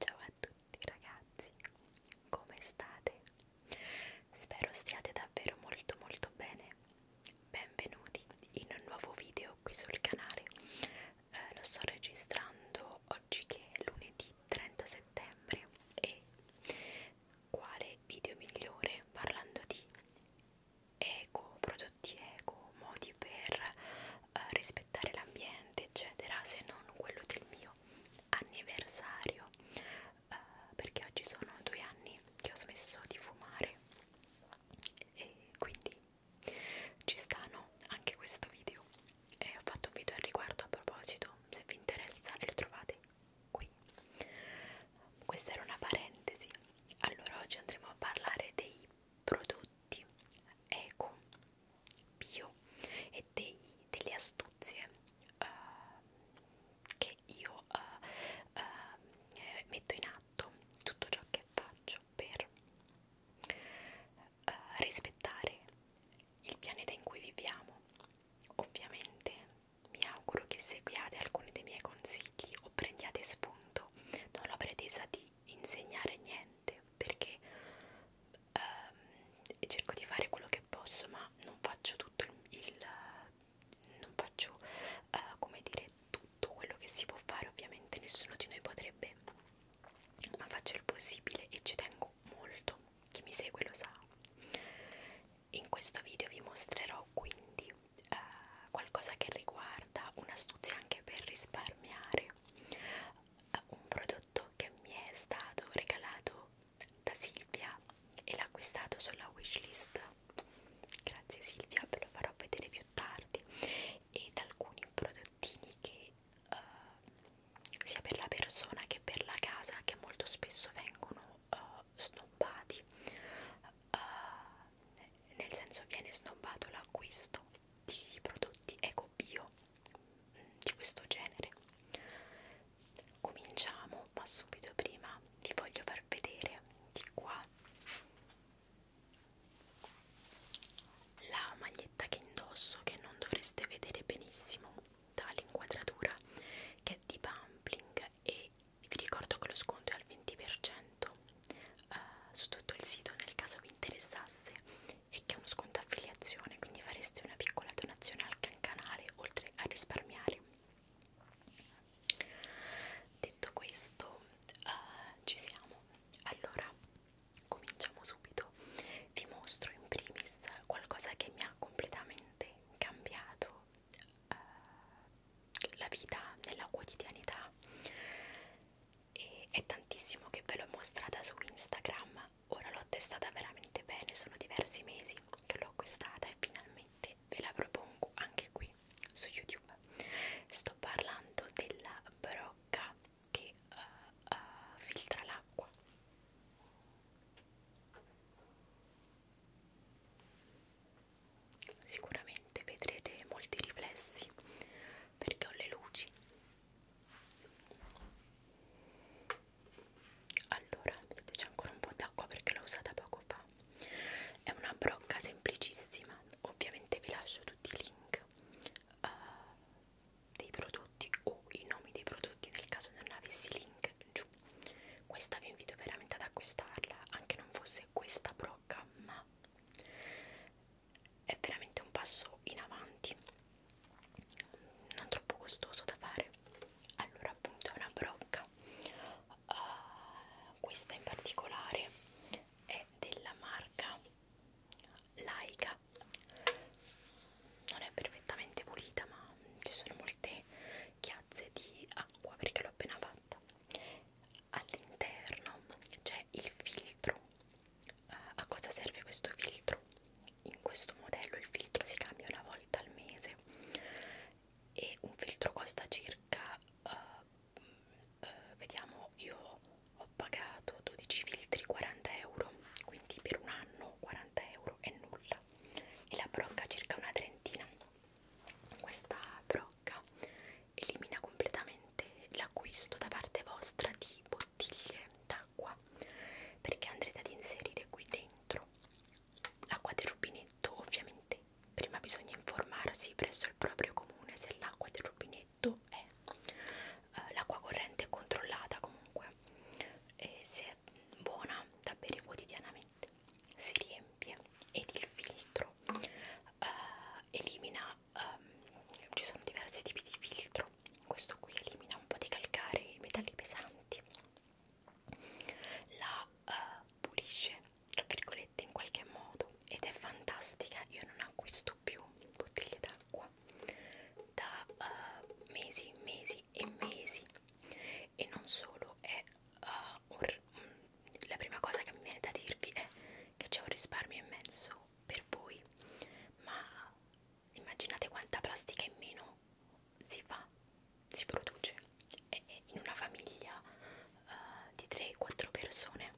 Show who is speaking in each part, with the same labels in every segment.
Speaker 1: Ciao a tutti ragazzi, come state? Spero stiate davvero molto molto bene. Benvenuti in un nuovo video qui sul canale. Eh, lo sto registrando oggi che è lunedì 30 settembre e quale video migliore parlando di eco, prodotti eco, modi per eh, rispettare l'ambiente, eccetera, se non quello del mio anniversario, eh, perché oggi sono due anni che ho smesso di fumare e quindi ci stanno anche questo video. E ho fatto un video al riguardo a proposito, se vi interessa e lo trovate qui questa era una parentesi allora oggi andremo a parlare dei prodotti eco bio e dei, delle astuzie uh, che io uh, uh, metto in atto tutto ciò che faccio per uh, rispettare il pianeta in cui viviamo ovviamente mi auguro che seguiate alcuni dei miei consigli o prendiate spunto, non la pretesa di insegnare niente perché ehm, cerco di fare quello che posso ma non faccio tutto il, il non faccio eh, come dire tutto quello che si può fare ovviamente nessuno di noi potrebbe ma faccio il possibile e ci tengo molto chi mi segue lo sa in questo video vi mostrerò quindi eh, qualcosa che riguarda un'astuzia anche per risparmiare, eh, un prodotto che mi è stato regalato da Silvia e l'ha acquistato sulla wishlist. Grazie Silvia, ve lo farò vedere più tardi ed alcuni prodottini che eh, sia per la persona che per la casa che molto spesso vengono eh, snobbati uh, nel senso viene snobbato l'acquisto di prodotti eco bio mm, di questo genere cominciamo ma subito prima vi voglio far vedere di qua la maglietta che indosso che non dovreste vedere benissimo dall'inquadratura che è di Bumpling e vi ricordo che lo sconto è al 20% eh, su tutto il sito nel caso vi interessasse e che è uno sconto affiliazione quindi fareste una piccola donazione al canale oltre a risparmiare detto questo eh, ci siamo allora cominciamo subito vi mostro in primis qualcosa che mi ha completamente cambiato eh, la vita nella quotidianità e è tantissimo che ve l'ho mostrata su Instagram ora l'ho testata veramente bene sono diversi mesi che l'ho acquistata e finalmente ve la propongo anche qui su YouTube sto parlando della brocca che uh, uh, filtra l'acqua Sicuramente vedrete molti riflessi perché ho le luci. Allora, vedete c'è ancora un po' d'acqua perché l'ho usata poco fa. È una brocca semplicissima, ovviamente vi lascio tutti i link uh, dei prodotti o i nomi dei prodotti nel caso non avessi link giù questa vi invito veramente ad acquistarla anche non fosse questa brocca ma è veramente un passo in avanti non troppo costoso da fare allora appunto è una brocca uh, questa in particolare è della marca Laica non è perfettamente pulita ma ci sono molte chiazze di acqua perché l'ho appena fatta all'interno c'è il filtro uh, a cosa serve questo filtro in questo modello il filtro si cambia una volta al mese e un filtro costa circa uh, uh, vediamo io ho pagato 12 filtri 40 euro quindi per un anno 40 euro è nulla e la brocca circa una trentina questa brocca elimina completamente l'acquisto da parte vostra di bottiglie d'acqua perché andrete ad inserire qui dentro l'acqua del rubinetto. Ovviamente prima bisogna informarsi presso il proprio comune se l'acqua del rubinetto è eh, l'acqua corrente controllata comunque e se è buona da bere quotidianamente set si riempie ed il filtro uh, elimina um, ci sono diversi tipi di filtro questo qui elimina un po' di calcare i metalli pesanti la uh, pulisce tra virgolette in qualche modo ed è fantastica io non acquisto più bottiglie d'acqua da uh, mesi mesi e mesi e non solo è uh, un, la prima cosa che mi viene da dirvi è che c'è un risparmio immenso per voi, ma immaginate quanta plastica in meno si fa, si produce e in una famiglia uh, di 3-4 persone.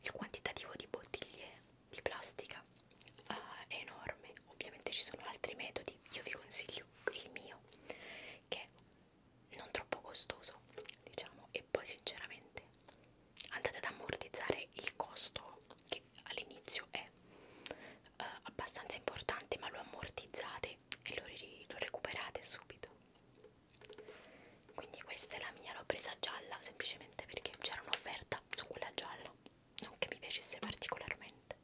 Speaker 1: Il quantitativo di bottiglie di plastica uh, è enorme, ovviamente ci sono altri metodi, io vi consiglio il mio che non troppo costoso diciamo e poi sinceramente andate ad ammortizzare il costo che all'inizio è eh, abbastanza importante ma lo ammortizzate e lo, lo recuperate subito quindi questa è la mia l'ho presa gialla semplicemente perché c'era un'offerta su quella gialla non che mi piacesse particolarmente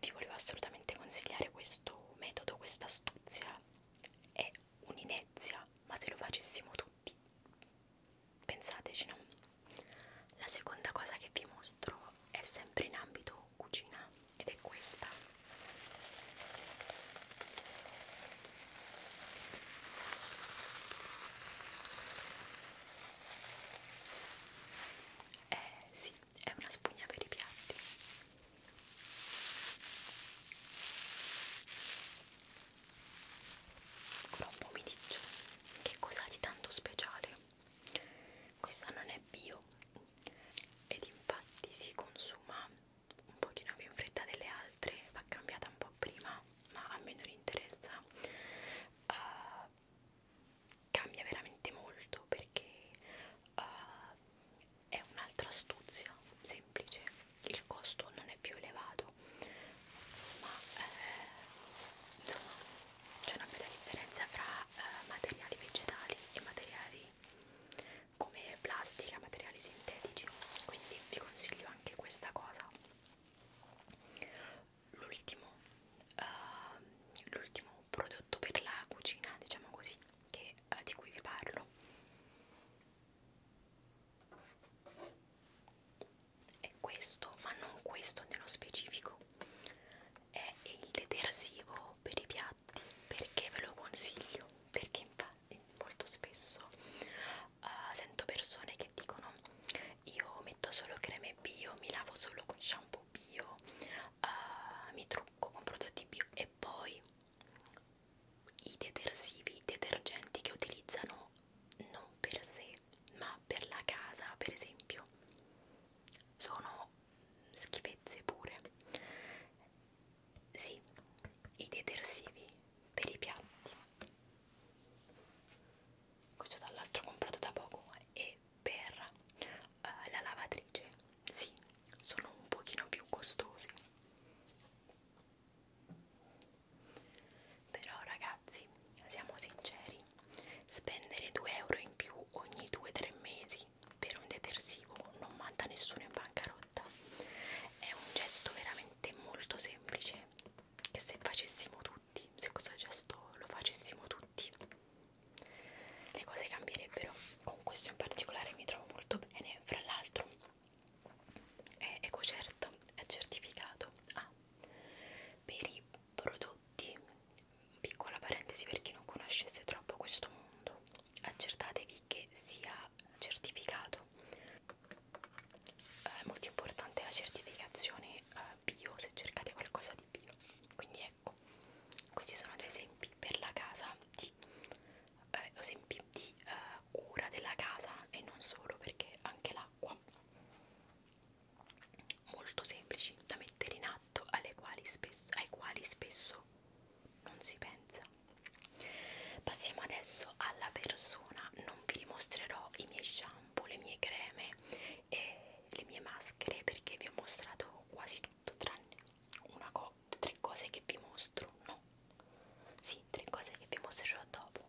Speaker 1: vi volevo assolutamente consigliare questo metodo, questa astuzia. È un'inezia, ma se lo facessimo tutti, pensateci, no? La seconda cosa che vi mostro è sempre in ambito cucina ed è questa. Eh sì, è una spugna per i piatti Ora un po' mi dice che cosa ha di tanto speciale questa non è bio ed infatti si consuma un pochino più in fretta delle altre va cambiata un po' prima ma a me non interessa uh, cambia veramente molto perché uh, è un'altra astuzia semplice il costo non è più elevato ma eh, insomma c'è una bella differenza fra eh, materiali vegetali e materiali come plastica materiali sintetici quindi vi consiglio anche questa cosa l'ultimo uh, l'ultimo un prodotto per la cucina, diciamo così, che, eh, di cui vi parlo. E questo, ma non questo nello specifico, è il detersivo per i piatti. Perché ve lo consiglio? Perché infatti molto spesso uh, sento persone che dicono io metto solo creme bio, mi lavo solo con shampoo bio, uh, mi trucco con prodotti bio e poi i detersivi, i detergenti che utilizzano non per sé ma per la casa per esempio sono schifezze pure sì, i detersivi per i piatti questo dall'altro comprato da poco e per uh, la lavatrice sì sono un pochino più costosi però ragazzi siamo sinceri spendere 2 euro in più ogni 2-3 mesi per un detersivo non manda nessuno in bancarotta è un gesto veramente molto semplice che se facessimo tutti se questo gesto lo facessimo tutti le cose cambierebbero con questo in particolare mi trovo molto bene fra l'altro è EcoCert è certificato ah, per i prodotti piccola parentesi per chi non conoscesse troppo questo mondo accertatevi che sia certificato eh, è molto importante la certificazione eh, bio se cercate qualcosa di bio quindi è ecco questi sono due esempi per la casa di eh, esempi di eh, cura della casa e non solo perché anche l'acqua molto semplici da mettere in atto alle quali spesso, ai quali spesso non si pensa passiamo adesso alla persona non vi dimostrerò i miei shampoo le mie creme e le mie maschere perché vi ho mostrato quasi tutto tranne una co tre cose che vi mostro, no? Sì, tre cose che vi mostrerò dopo.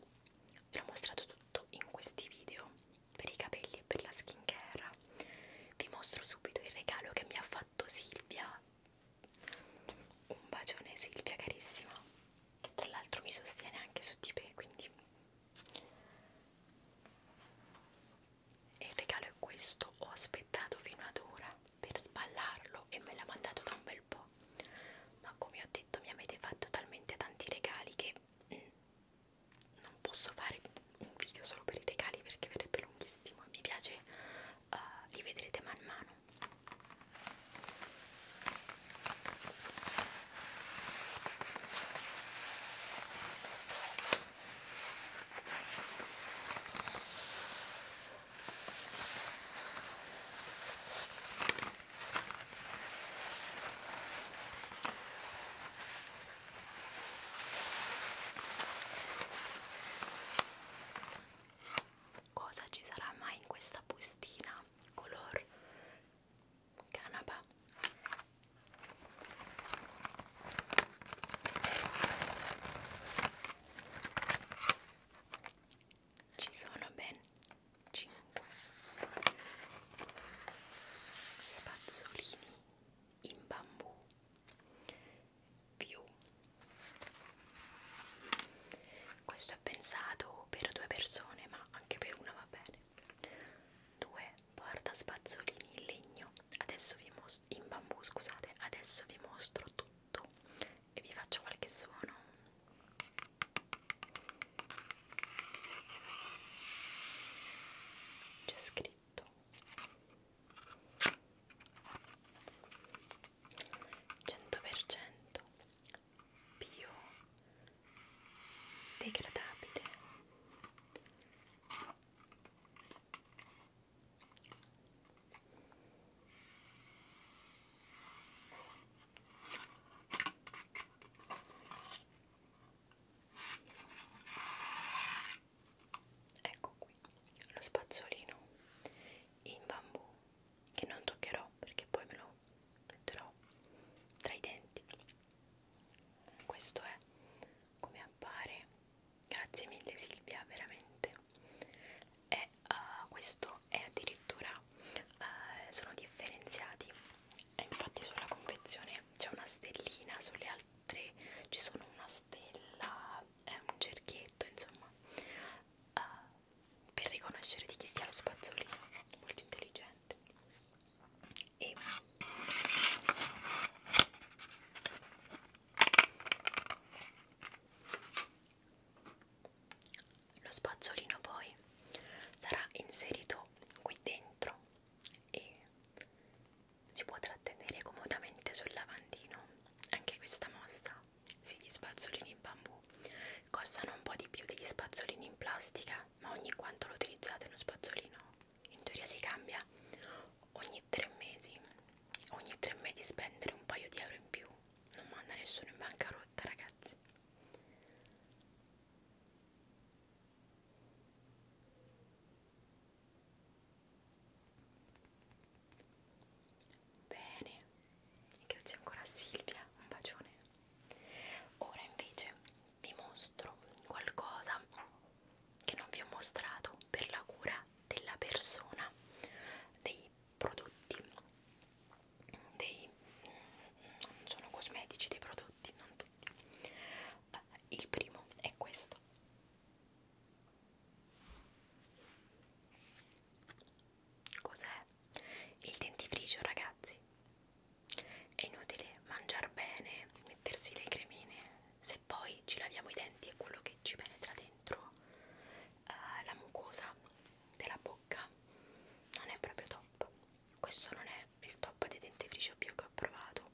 Speaker 1: Vi ho mostrato tutto in questi video per i capelli e per la skincare. Vi mostro subito il regalo che mi ha fatto Silvia. Un bacione Silvia carissima, che tra l'altro mi sostiene anche su Tipe, quindi e il regalo è questo, ho aspettato fino ad ora per sballarlo e me l'ha mandato da un bel po', ma come ho detto mi avete fatto talmente tanti regali che mm, non posso fare un video solo per i regali perché verrebbe lunghissimo, mi piace, uh, li vedrete man mano. Cosa ci sarà mai in questa bustina? Color canapa ci sono ben 5 spazzolini in bambù più questo è pensato per due persone ma anche per una va bene due porta spazzolini in legno adesso vi in bambù scusate adesso vi mostro tutto e vi faccio qualche suono c'è scritto cento per cento bio degradabile Ecco qui lo spazzolino in bambù che non toccherò perché poi me lo metterò tra i denti. Questo è come appare grazie mille Silvia veramente e uh, questo è addirittura uh, sono differenziati e infatti sulla confezione c'è una stellina sulle altre ci sono una stella è eh, un cerchietto insomma uh, per riconoscere di chi sia lo spazzolino molto intelligente e lo spazzolino poi sarà inserito qui dentro e si può trattenere comodamente sul lavandino. Anche questa mossa, sì, gli spazzolini in bambù costano un po' di più degli spazzolini in plastica, ma ogni quanto lo utilizzate uno spazzolino in teoria si cambia ogni tre mesi ogni tre mesi spendere un paio di euro in più non manda nessuno in bancarotta ragazzi bene grazie ancora a Silvia un bacione ora invece vi mostro qualcosa che non vi ho mostrato per la cura della persona, dei prodotti, dei non sono cosmetici, dei prodotti, non tutti. Il primo è questo. Cos'è? Il dentifricio, ragazzi. È inutile mangiare bene, mettersi le cremine se poi ci laviamo i denti è quello che ci penetra dentro eh, la mucosa della bocca non è proprio top questo non è il top dei dentifricio bio che ho provato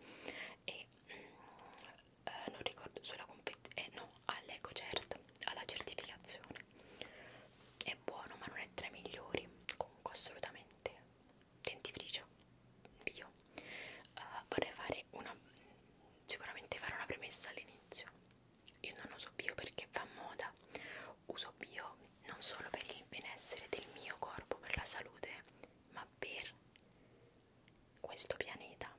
Speaker 1: e mm, eh, non ricordo sulla confezione eh, no all'eco cert alla certificazione è buono ma non è tra i migliori comunque assolutamente dentifricio io uh, vorrei fare una sicuramente fare una premessa all'inizio io non uso bio perché fa moda uso bio non solo per il benessere del mio corpo per la salute ma per questo pianeta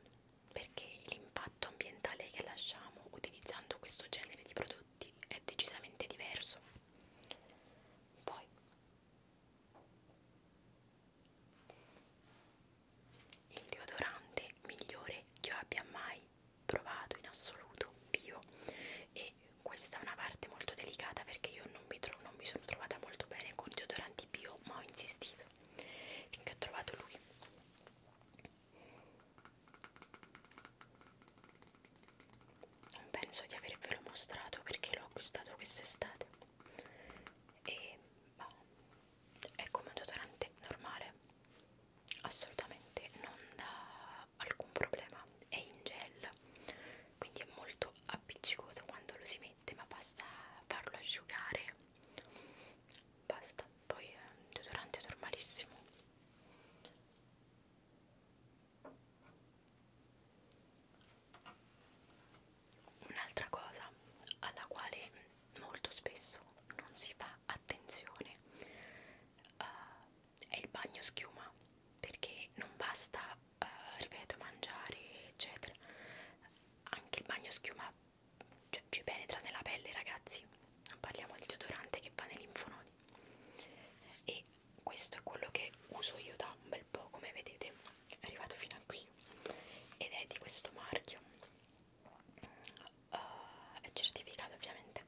Speaker 1: perché l'impatto ambientale che lasciamo utilizzando questo genere di prodotti è decisamente diverso poi il deodorante migliore che io abbia mai provato in assoluto bio e questa è una parte molto delicata perché io non mi, non mi sono trovata molto bene con deodoranti bio ma ho insistito finché ho trovato lui non penso di avervelo mostrato perché l'ho acquistato quest'estate e ma, è come un deodorante normale assolutamente non dà alcun problema è in gel quindi è molto appiccicoso quando lo si mette ma basta farlo asciugare basta poi è un deodorante normalissimo Un'altra cosa alla quale molto spesso non si fa attenzione uh, è il bagno schiuma perché non basta, uh, ripeto, mangiare eccetera, anche il bagno schiuma cioè, ci penetra nella pelle ragazzi, non parliamo del deodorante che va nei linfonodi e questo è quello che uso io da un bel po' come vedete è arrivato fino a qui io ed è di questo marchio uh, è certificato ovviamente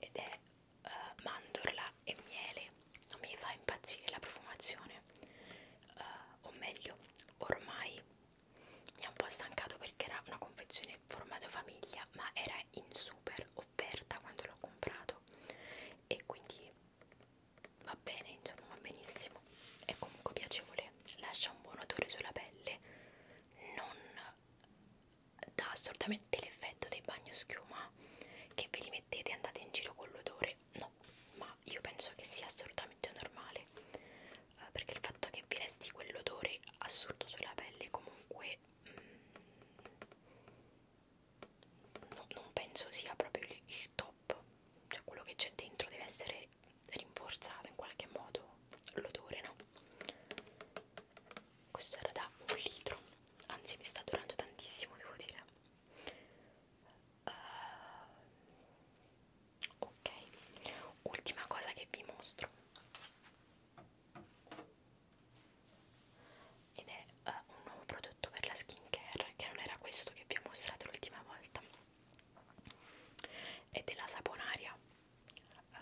Speaker 1: ed è uh, mandorla e miele non mi fa impazzire la profumazione uh, o meglio ormai mi ha un po' stancato perché era una confezione formato famiglia ma era in super offerta quando l'ho comprato e quindi va bene, insomma va benissimo, è comunque piacevole, lascia un buon odore sulla pelle, non dà assolutamente l'effetto dei bagno schiuma che ve li mettete e andate in giro con l'odore, no, ma io penso che sia assolutamente normale, eh, perché il fatto che vi resti quell'odore assurdo sulla pelle comunque mm, no, non penso sia proprio il, il top top cioè quello che c'è dentro deve essere rinforzato in qualche modo l'odore no questo era da un litro anzi mi sta durando tantissimo devo dire uh, ok ultima cosa che vi mostro ed è uh, un nuovo prodotto per la skin care che non era questo che vi ho mostrato l'ultima volta e della saponaria uh,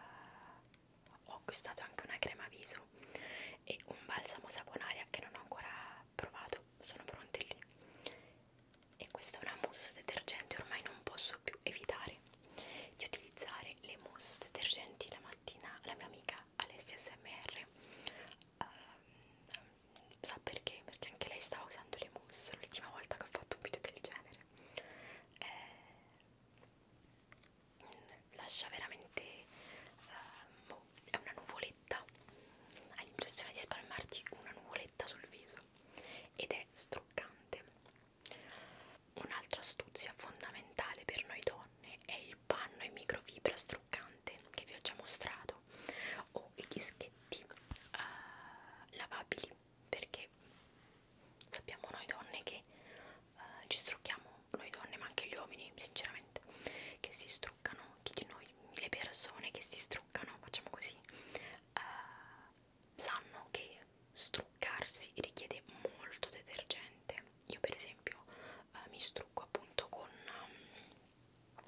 Speaker 1: ho acquistato anche una crema viso e un balsamo saponaria che non ho ancora provato sono pronti lì e questa è una mousse detergente ormai non posso più evitare di utilizzare le mousse detergenti la mattina la mia amica Alessia SMR uh, ehm, sa perché? Perché anche lei stava usando le mousse l'ultima volta che ho fatto un video del genere. Eh, lascia veramente eh, boh, è una nuvoletta. Hai l'impressione di spalmarti una nuvoletta sul viso ed è struccante. Un'altra astuzia fondamentale per noi donne è il panno in microfibra struccante che vi ho già mostrato o i dischetti uh, lavabili perché sappiamo noi donne che uh, ci strucchiamo, noi donne ma anche gli uomini sinceramente che si struccano, chi di noi, le persone che si struccano, facciamo così uh, sanno che struccarsi richiede molto detergente io per esempio uh, mi strucco appunto con um,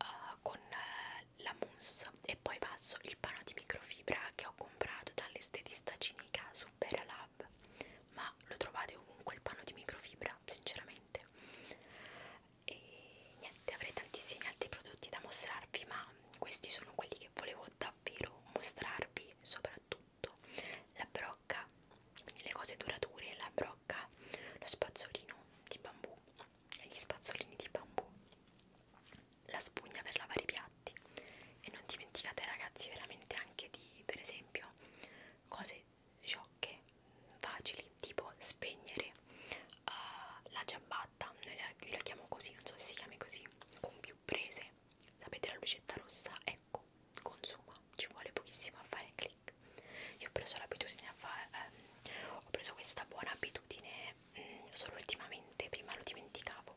Speaker 1: uh, con uh, la mousse e poi passo il pano di microfibra che ho comprato dall'estetista cinica Super Lab ma lo trovate ovunque il pano di microfibra sinceramente e niente avrei tantissimi altri prodotti da mostrarvi ma questi sono quelli che volevo davvero mostrarvi soprattutto la brocca quindi le cose durature la brocca lo spazzolino di bambù e gli spazzolini di bambù, la spugna per lavare i piatti e non dimenticate ragazzi veramente anche di per esempio cose sciocche, facili, tipo spegnere uh, la giabbatta, noi la, io la chiamo così, non so se si chiami così, con più prese, sapete la lucetta rossa, ecco, consuma, ci vuole pochissimo a fare click. Io ho preso l'abitudine a, fa, ehm, ho preso questa buona abitudine mh, mm, solo ultimamente, prima lo dimenticavo.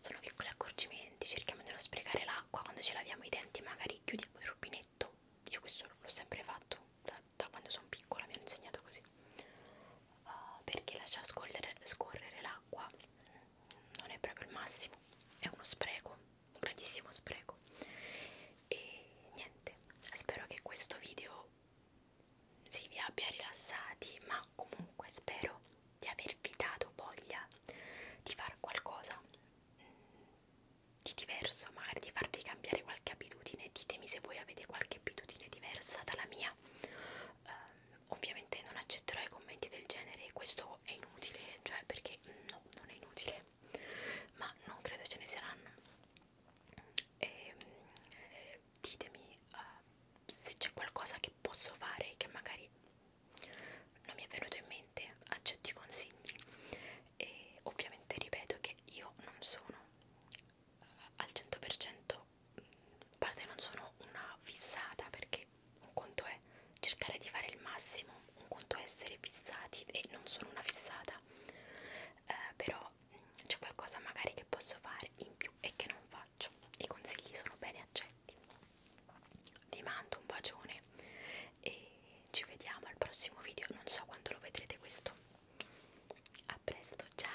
Speaker 1: Sono piccoli accorgimenti, cerchiamo di non sprecare l'acqua quando ce laviamo i denti, magari chiudiamo il rubinetto. Io questo l'ho sempre fatto da, da quando sono piccola, mi hanno insegnato così. Uh, perché lasciare scorrere, scorrere l'acqua mm, non è proprio il massimo, è uno spreco, un grandissimo spreco. E niente, spero che questo video si vi abbia rilassati, ma comunque spero di avervi dato voglia di fare qualcosa mm, di diverso, magari di farvi cambiare qualche abitudine. Ditemi se voi avete qualche abitudine diversa dalla mia. Uh, ovviamente non accetterò i commenti del genere, questo è inutile, cioè perché mm, no, non è inutile, ma non credo ce ne saranno e eh, ditemi eh, se c'è qualcosa che posso fare che magari non mi è venuto in mente accetti consigli e ovviamente ripeto che io non sono eh, al 100% a mm, parte non sono una fissata perché un conto è cercare di fare il massimo un conto è essere fissati e non sono una fissata eh, però c'è qualcosa magari che posso fare in più e che non faccio i consigli sono bene accetti vi mando un bacione e ci vediamo al prossimo video non so quando lo vedrete questo a presto ciao